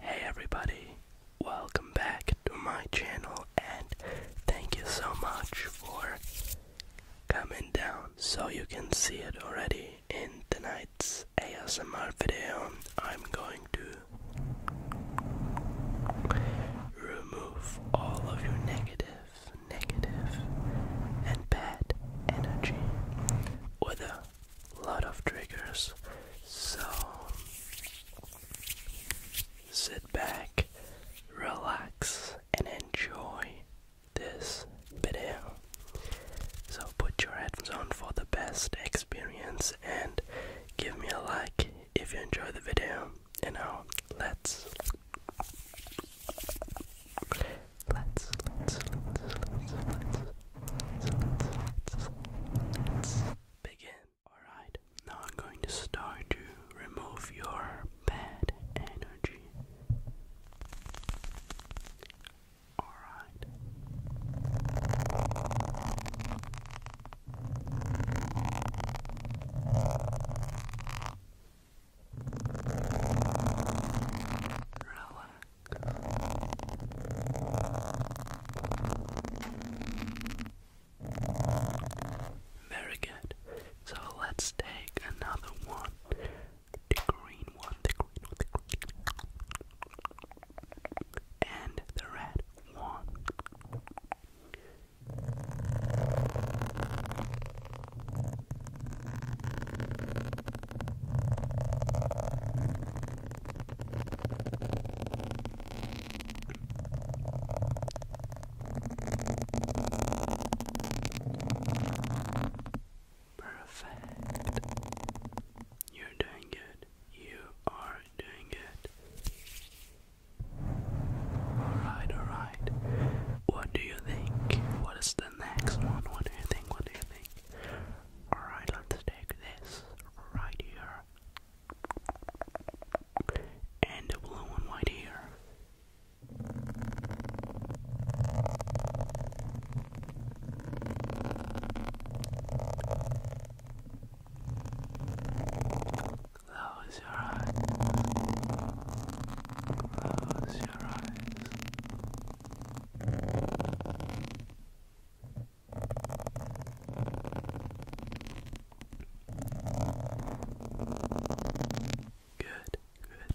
Hey everybody, welcome back to my channel and thank you so much for coming down. So you can see it already in tonight's ASMR video. I'm going to remove all of your negative, negative, and bad energy with a lot of triggers. So sit back, relax, and enjoy this video. So put your headphones on for the best experience and give me a like if you enjoy the video. And now let let's let's let's let's let's let's let's begin. Alright, now I'm going to start to remove your bad energy. Alright. Very good. So let's take another one. The green one, one and the red one. Perfect. You're doing good. You are doing it. Alright, alright. What do you think? What is the next one? What do you think? What do you think? Alright, let's take this right here. And the blue one right here. Close your eyes. Close your eyes. Good, good.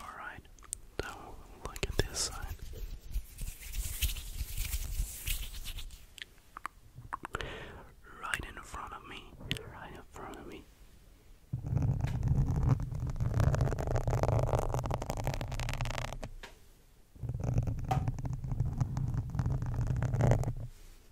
Alright, now look at this side. Right in front of me, right in front of me.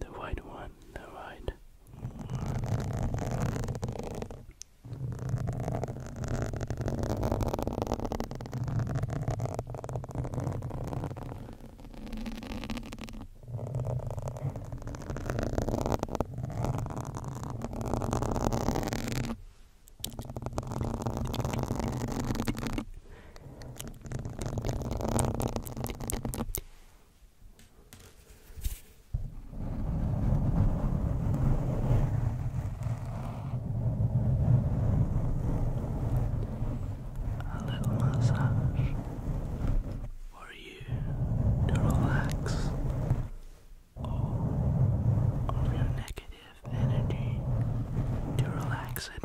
The white one, the white a little massage for you to relax all your negative energy, to relax it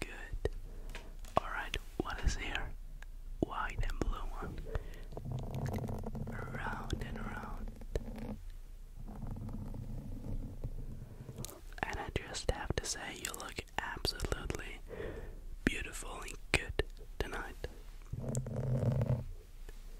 Good. Alright, what is here? White and blue one. Round and round. And I just have to say, you look absolutely beautiful and good tonight.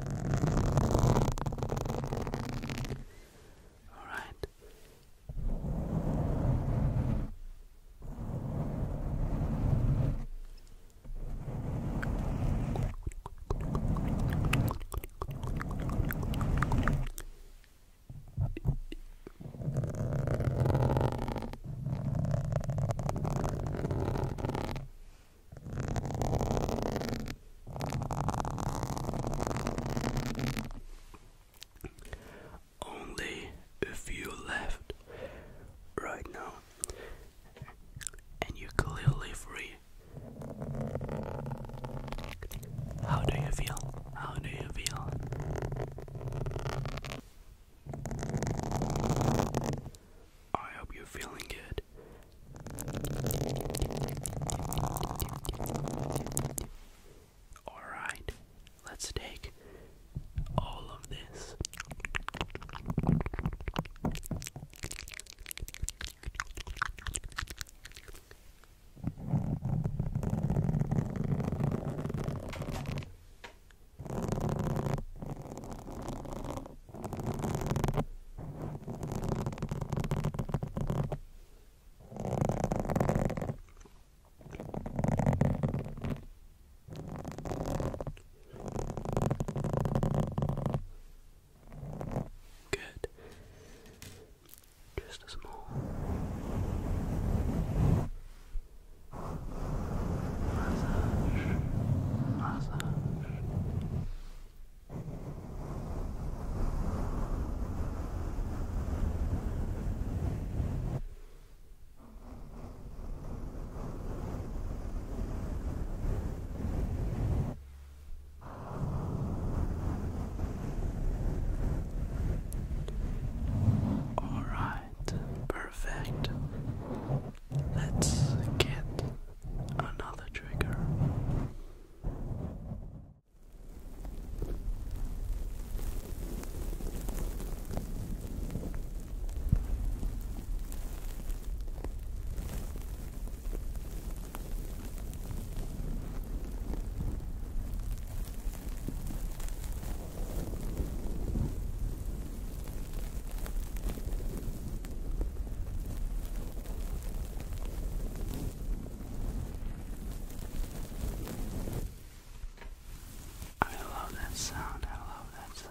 All right. All only a few left right now, and you're clearly free. How do you feel? How do you feel? I hope you're feeling good. Alright, let's take all of this. Good. Just a small massage, massage, all right, perfect. Let's get another trigger. I love that sound, I love that sound.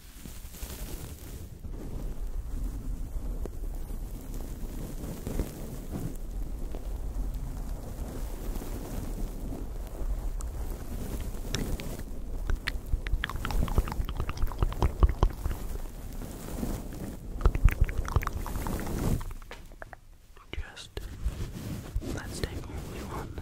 Just let's take only one.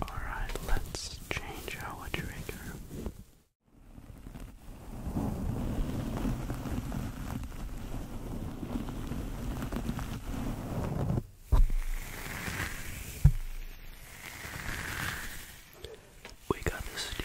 Alright, let's change our trigger. We got the stew.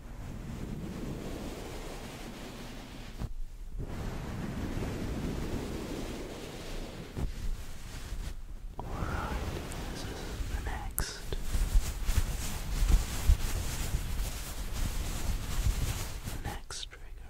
Alright, this is the next. The next trigger.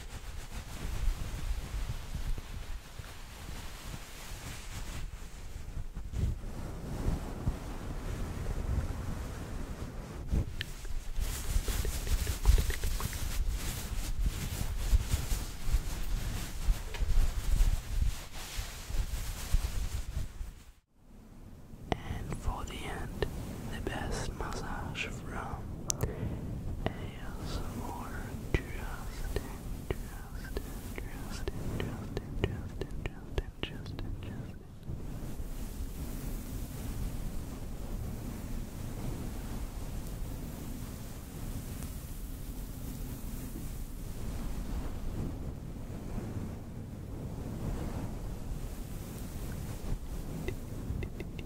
And for the end, the best massage from ASMR Justin, Justin, Justin, Justin, Justin, Justin, Justin, Justin. Justin,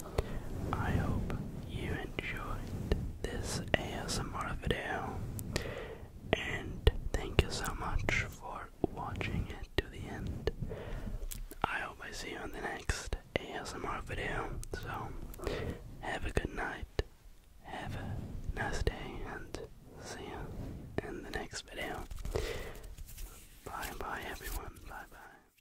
I hope you enjoyed this ASMR video, and thank you so much for watching it to the end. I hope I see you in the next ASMR video, so have a good night, have a nice day, and see you in the next video. Bye bye everyone, bye bye.